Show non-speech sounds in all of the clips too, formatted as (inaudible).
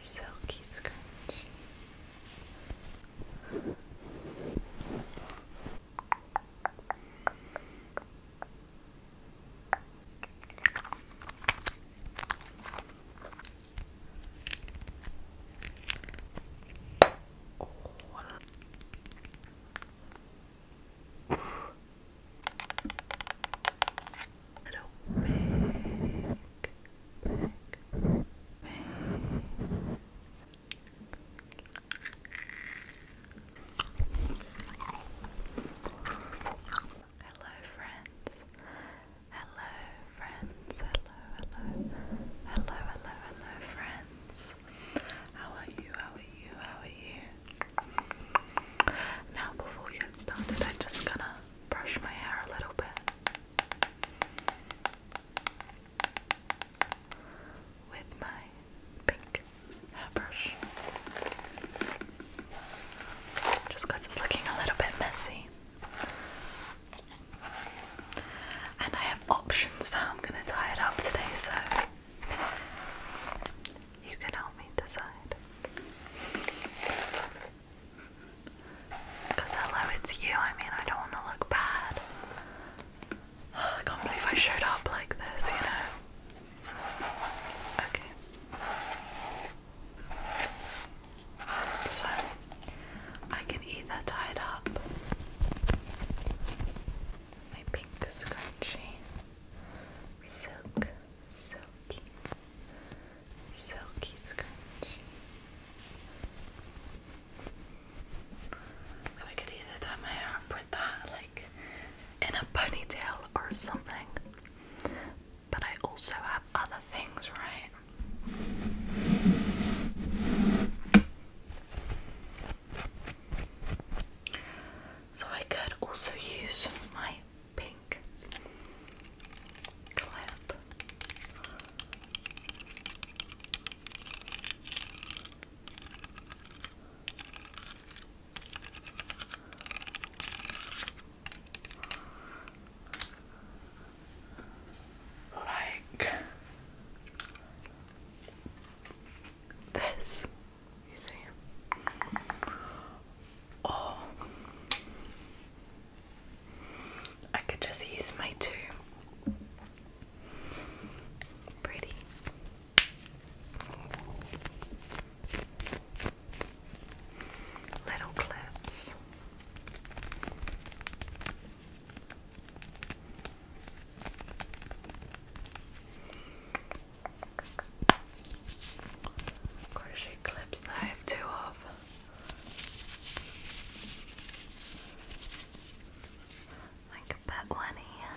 Silky scrunchie. Oh, Hello, friends. Hello, friends. Hello, hello. Hello, hello, hello, friends. How are you? How are you? How are you? Now, before we get started, I'm just gonna brush my hair a little bit with my pink hairbrush just it's looking a little bit messy. And I have options for how I'm going to tie it up today, so you can help me decide. Because hello, it's you. I mean, I don't want to look bad. I can't believe I showed up like this, you know? Okay. So, I can either tie it up my pink scrunchie. Silk, silky, silky scrunchie. So I could either tie my hair with that, like in a ponytail or something. But I also have other things, right? So I could also use my pink clip. Like this. You see? Or oh. I could just use my two pretty little clips. Crochet clips that I have two of. I could one here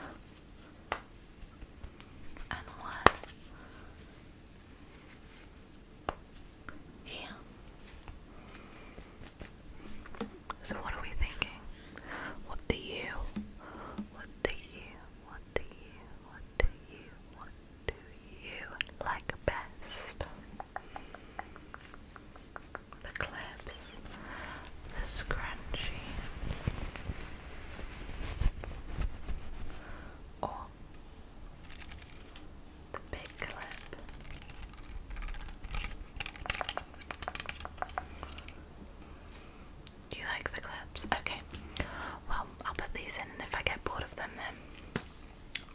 and one here. So what are we thinking? What do you? What do you? What do you? What do you? What do you like best? The clips, the scrunchie, or the big clip? Do you like the clips? Okay. Well, I'll put these in, and if I get bored of them, then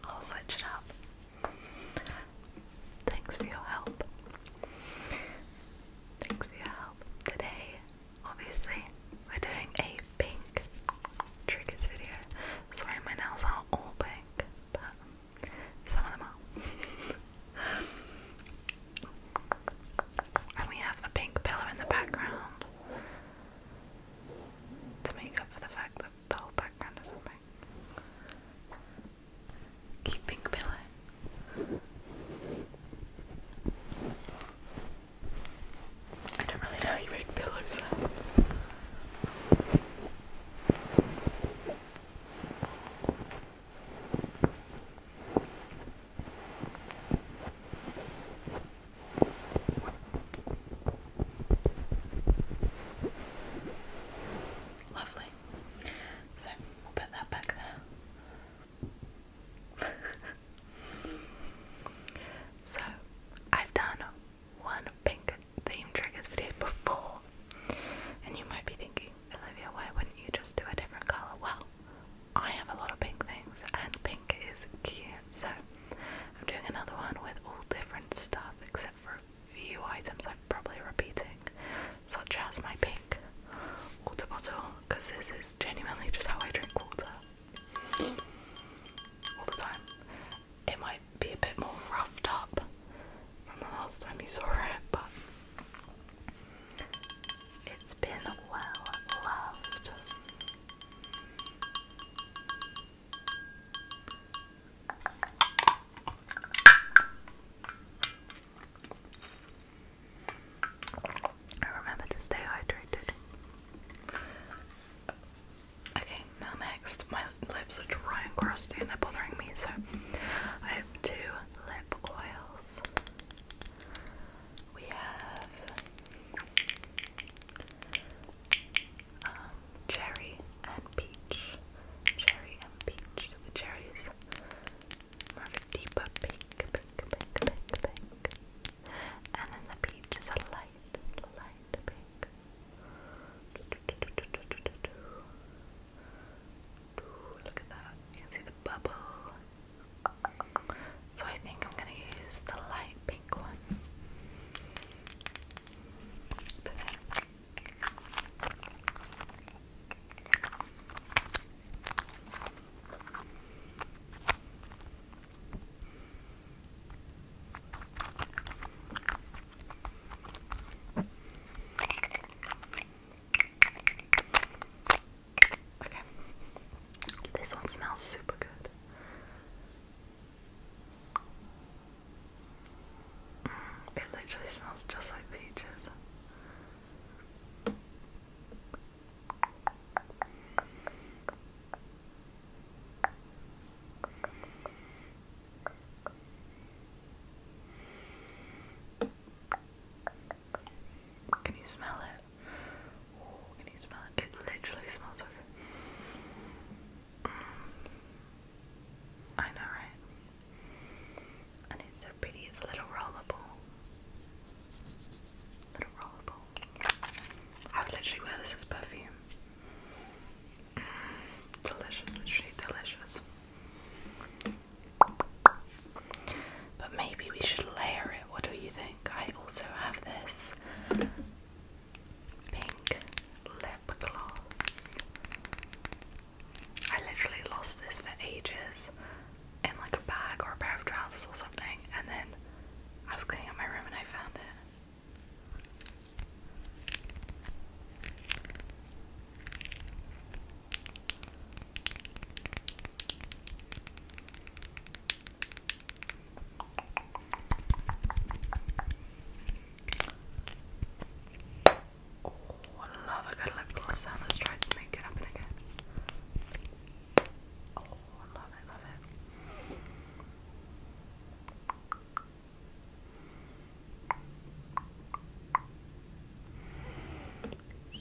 I'll switch it up. Thanks for your help. Thanks for your help. Today, obviously, we're doing a pink triggers video. Sorry, my nails aren't all pink, but some of them are. (laughs) And we have a pink pillow in the background to make up for the fact that the whole background is something. Cute pink pillow. I don't really know how you make pillows. Lovely. So we'll put that back there. (laughs) so I've done one pink theme triggers video before, and you might be thinking, Olivia, why wouldn't you just do a different colour? Well, I have a lot of pink things, and pink is cute, so I'm doing another one with all different stuff except for a few items I'm probably repeating, such as my pink water bottle, because this is genuinely just how I drink water all the time. It might be a bit more roughed up from the last time you saw it, but it's been well loved. I remember to stay hydrated. Okay, now next, my lips are dry and crusty and they're bothering me, so I have two lip oils. We have um, cherry and peach. Cherry and peach. the cherry is more of a deeper pink, pink, pink, pink, pink. And then the peach is a light, light pink. Ooh, look at that. You can see the bubble. So I think I'm gonna use the light pink one. Okay. This one smells super good. Mm, it literally smells just like peaches. Can you smell it? can you smell it? It literally smells so good. Mm. I know, right? And it's so pretty. It's a little rollerball. Little rollerball. I would literally wear this as perfume. Mm. Delicious, literally delicious. But maybe we should layer it. What do you think? I also have this pink lip gloss. I literally lost this for ages in like a bag or a pair of trousers or something, and then I was cleaning up my room and I found it. Oh, I love a good lip gloss. Let's try to make it happen again. Oh, love it, love it.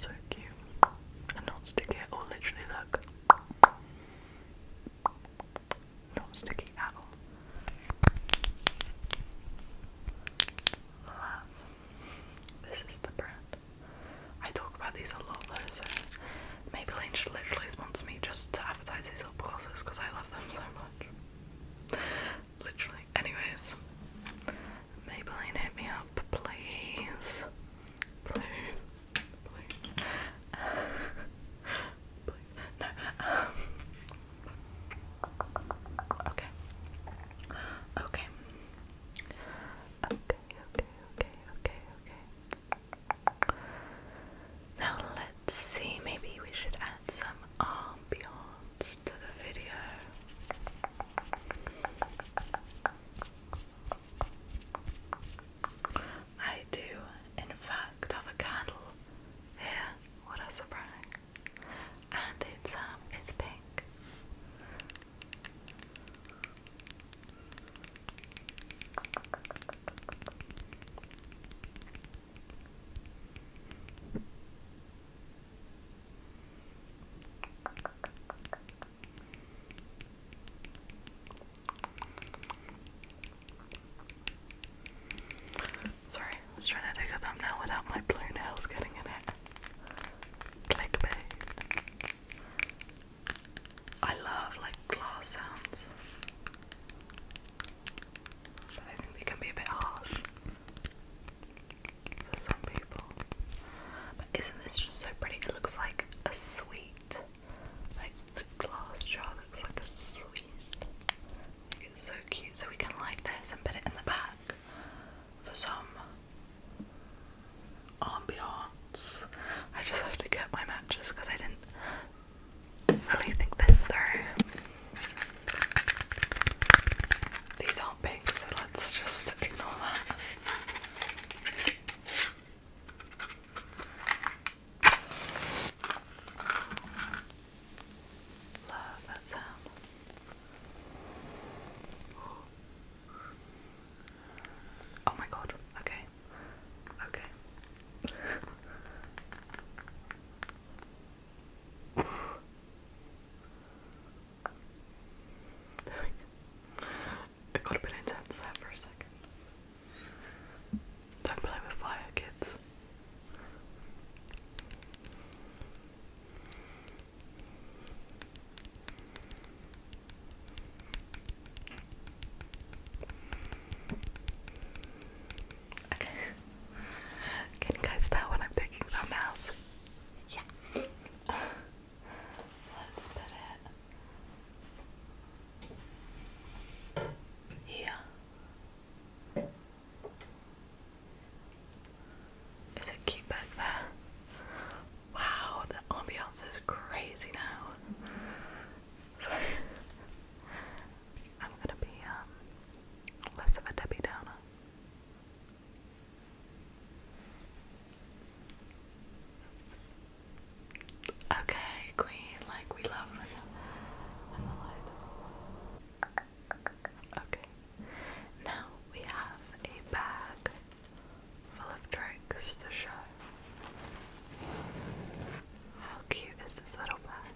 So cute. And not sticky at all, literally look. Not sticky at all. Love. This is the brand. I talk about these a lot though, so maybe Lane should literally sponsor me just to advertise these lip glosses because I love them so much literally. Anyways, Maybelline, hit me up, please. Please, please. (laughs) No. Um, okay. Okay. Okay, okay, okay, Now let's see, maybe we should add some ambiance to the video. I do, in fact, have a candle here. What a surprise! And it's um, it's pink. Sorry, I was trying to take a thumbnail without my blue nails getting in it. Clickbait. I love like glass sounds. But I think they can be a bit harsh for some people. But isn't this just so pretty? It looks like a sweet. Like the glass jar looks like a sweet. it's so cute. So we can like this and put it in the back for some ambiance. I just have to get my matches because I didn't really think this through. These aren't pink, so let's just ignore that. Love that sound. Oh my god, okay. Okay. There we go. It got a bit intense there for a second. Don't play with fire, kids. Okay. Can you guys tell when I'm taking thumbnails? Yeah. Let's put it here. Is it cute back there? Wow, the ambiance is crazy now. Sorry. I'm gonna be um, less of a Debbie Downer. Okay, Queen, like we love when the, when Okay, now we have a bag full of tricks to show. How cute is this little bag?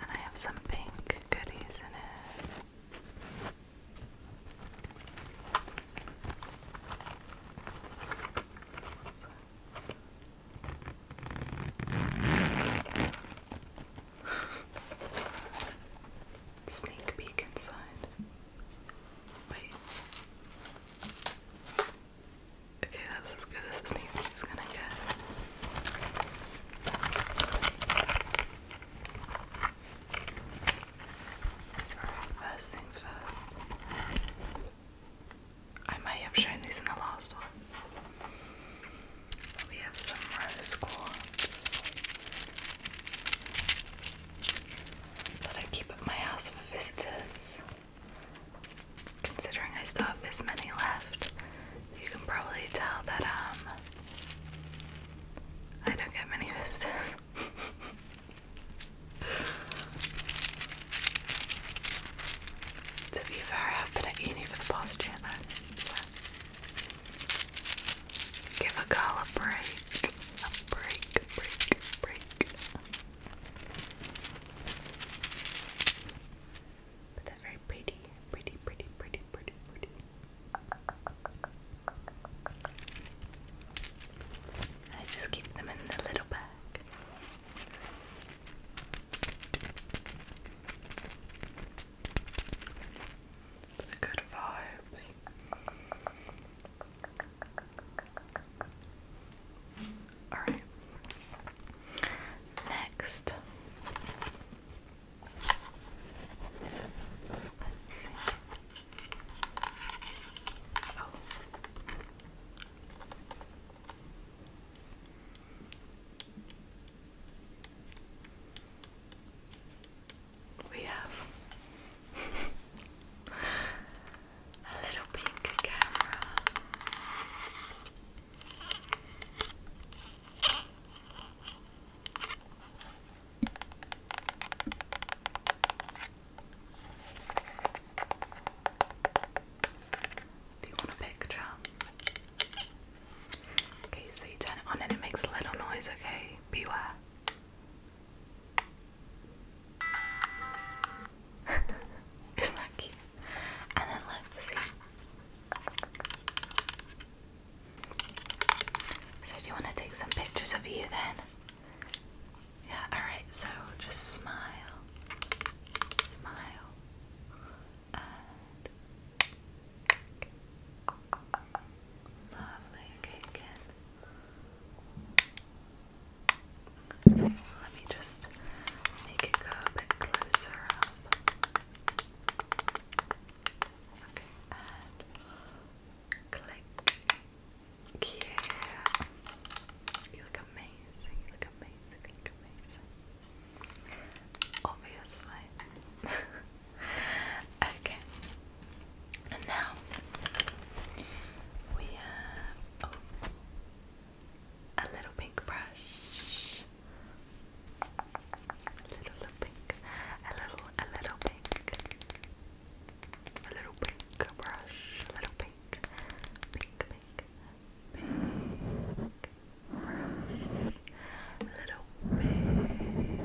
And I have some pink goodies in it. Sneak peek inside. Wait. Okay, that's as good as a sneak peek is gonna get. first things first. I may have shown these in the last one. We have some rose quartz. But I keep at my house for visitors. Considering I still have this many left, you can probably tell that um I don't get many (laughs) visitors. to be fair, I've been at uni for the past year now. Give a call a break. A break, break, break. But they're very pretty, pretty, pretty, pretty, pretty, pretty. I just keep them in the little bag. The good vibes. Alright. Next. Let's see. Oh we have a little pink camera. Do you want a picture? Okay, so you turn it on and it makes a little noise, okay? Beware. (laughs) Isn't that cute? And then let's see. So do you want to take some pictures of you then? Yeah, alright, so just smile. Smile. Lovely. again. let me just make it go a bit closer Okay, and click. Yeah. You look amazing. You look amazing. You look amazing. Obviously. (laughs) Okay. And now we have oh, a little pink brush. little, little pink. A little, a little pink. A little pink brush. A little pink. Pink, pink. Pink brush. little pink.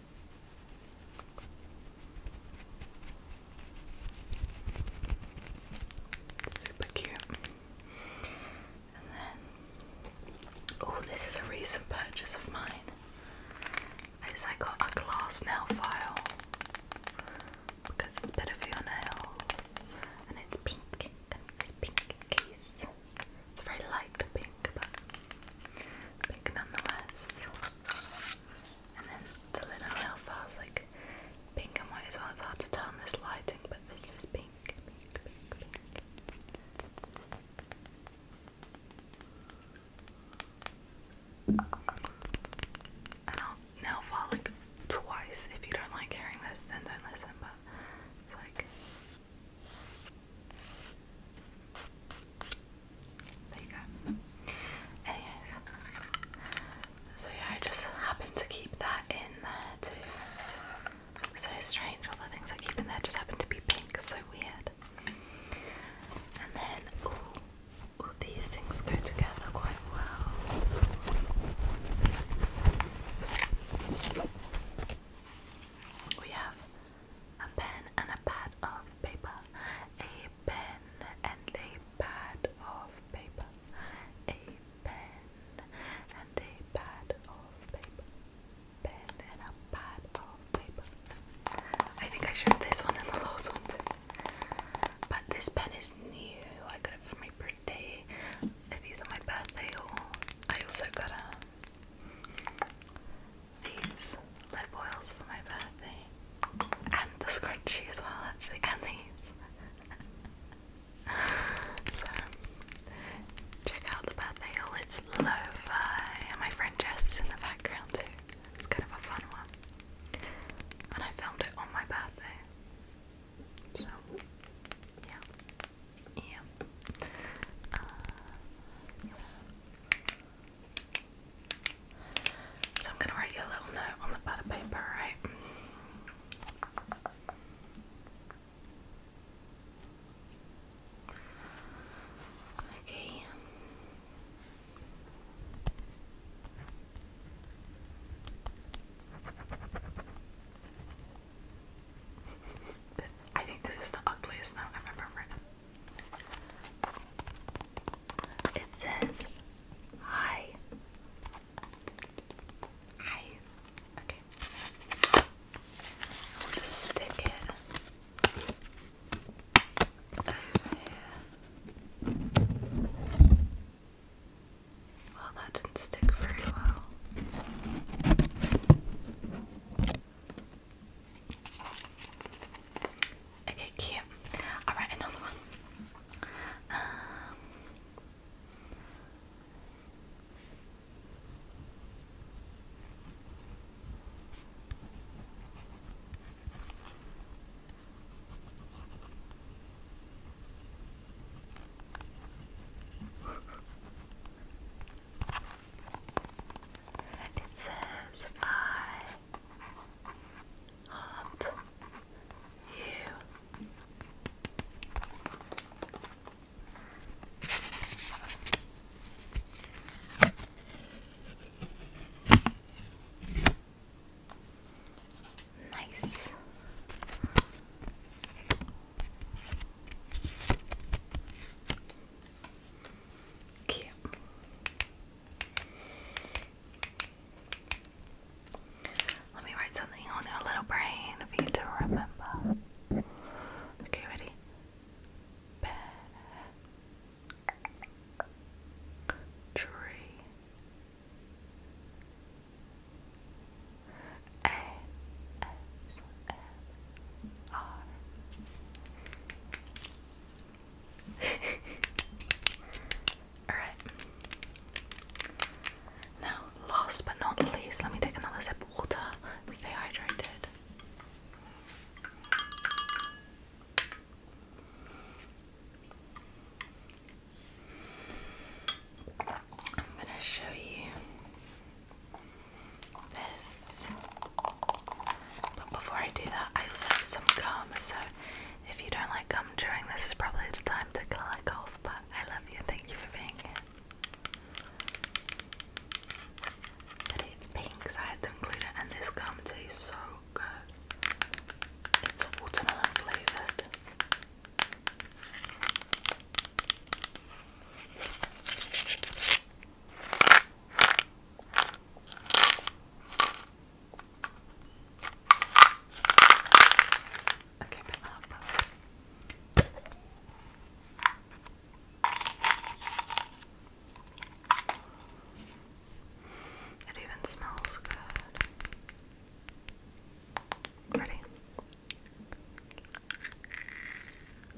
Super cute. oh, this is a recent purchase of mine. Is I got a glass nail file because it's better for your nails, and it's pink. It's pink case. It's very light pink, but pink nonetheless. And then the little Belfast, like pink and white as well. It's hard to tell in this lighting, but this is pink, I'll now fall like twice. If you don't like hearing this, then don't listen. But it's like there you go. so yeah, I just happened to keep that in there too. So strange, all the things I keep in there just happen to be pink, so weird. And then, ooh, all these things go together quite well. We have a pen and a pad of paper, a pen and a pad of paper, a pen and a pad of paper, pen and a pad of paper. I think I showed this one in the last one But this pen is new. I got it for my birthday. I've used on my birthday or I also got a these lip oils for my birthday. And the scrunchie as well, actually, and these. (laughs) so, check out the birthday haul, it's lo-fi, and my friend Jess is in the background too. It's kind of a fun one. And I filmed it on my birthday. So, yeah. Uh, yeah. so I'm gonna write you a little note on the pad of paper, right? Okay. (laughs) I think this is the ugliest note I've ever written. It says, Hi. Hi. Okay. We'll just stick it over here. Well, that didn't stick very well. Okay, cute. All right, another one. It says, I heart you. Nice. Let me write something on your little brain for you to remember. Okay, ready? Bear. Tree. Alright. Now, last but not least, let me take another sip of water. Stay hydrated. I'm going to show you this. But before I do that, I also have some gum, so if you don't like gum chewing, this is probably the time to click off. But I love you, and thank you for being here. But it's pink, so I had to include it, and this gum tastes so good. It's watermelon flavored. Uh, it even smells good. Ready?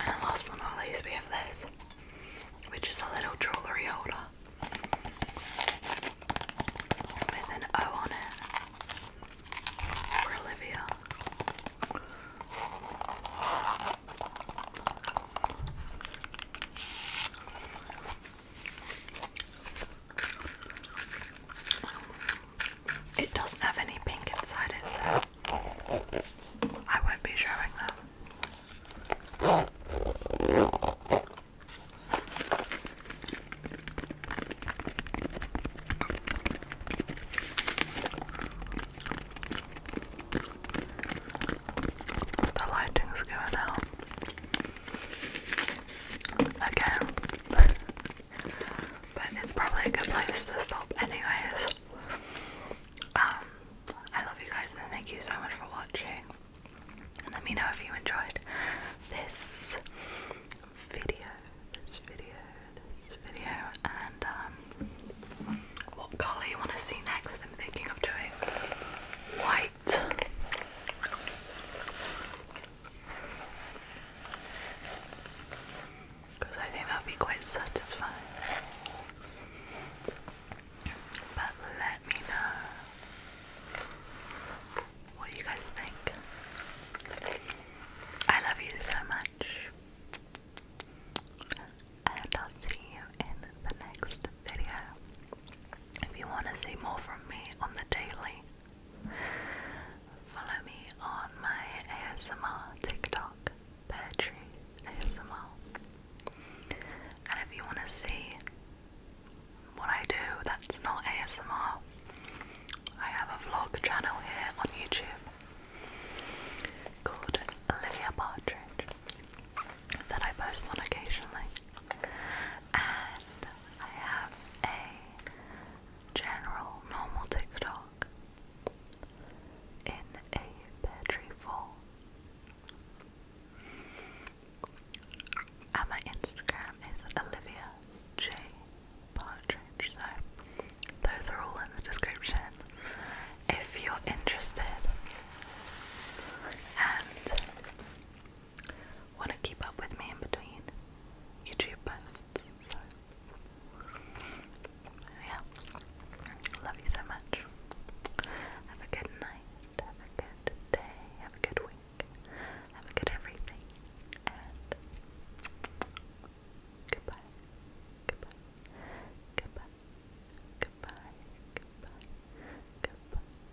And last but not least, we have this, which is a little jewellery holder with an O on it for Olivia. It doesn't have any pink inside it, so I won't be showing that. The lighting's going out again. (laughs) but it's probably a good place to stop, anyways. Um, I love you guys and thank you so much for watching. And let me know if you enjoyed this video, this video, this video, and um, what color you want to see next. I'm thinking of doing white because I think that would be quite satisfying. But let me know what you guys think. I love you so much. And I'll see you in the next video. If you want to see more from me on the daily, follow me on my ASMR TikTok, Peartree ASMR. And if you want to see what I do that's not ASMR, I have a vlog channel here on YouTube called Olivia Partridge that I post on occasionally. And I have a general normal TikTok in a pear tree And my Instagram is Olivia J Partridge. So those are all in the description if you're interested. And want to keep up with me in between YouTube posts. yeah. Love you so much. Have a good night. Have a good day. Have a good week. Have a good everything. And goodbye. Goodbye. Goodbye. Goodbye. Goodbye. Goodbye.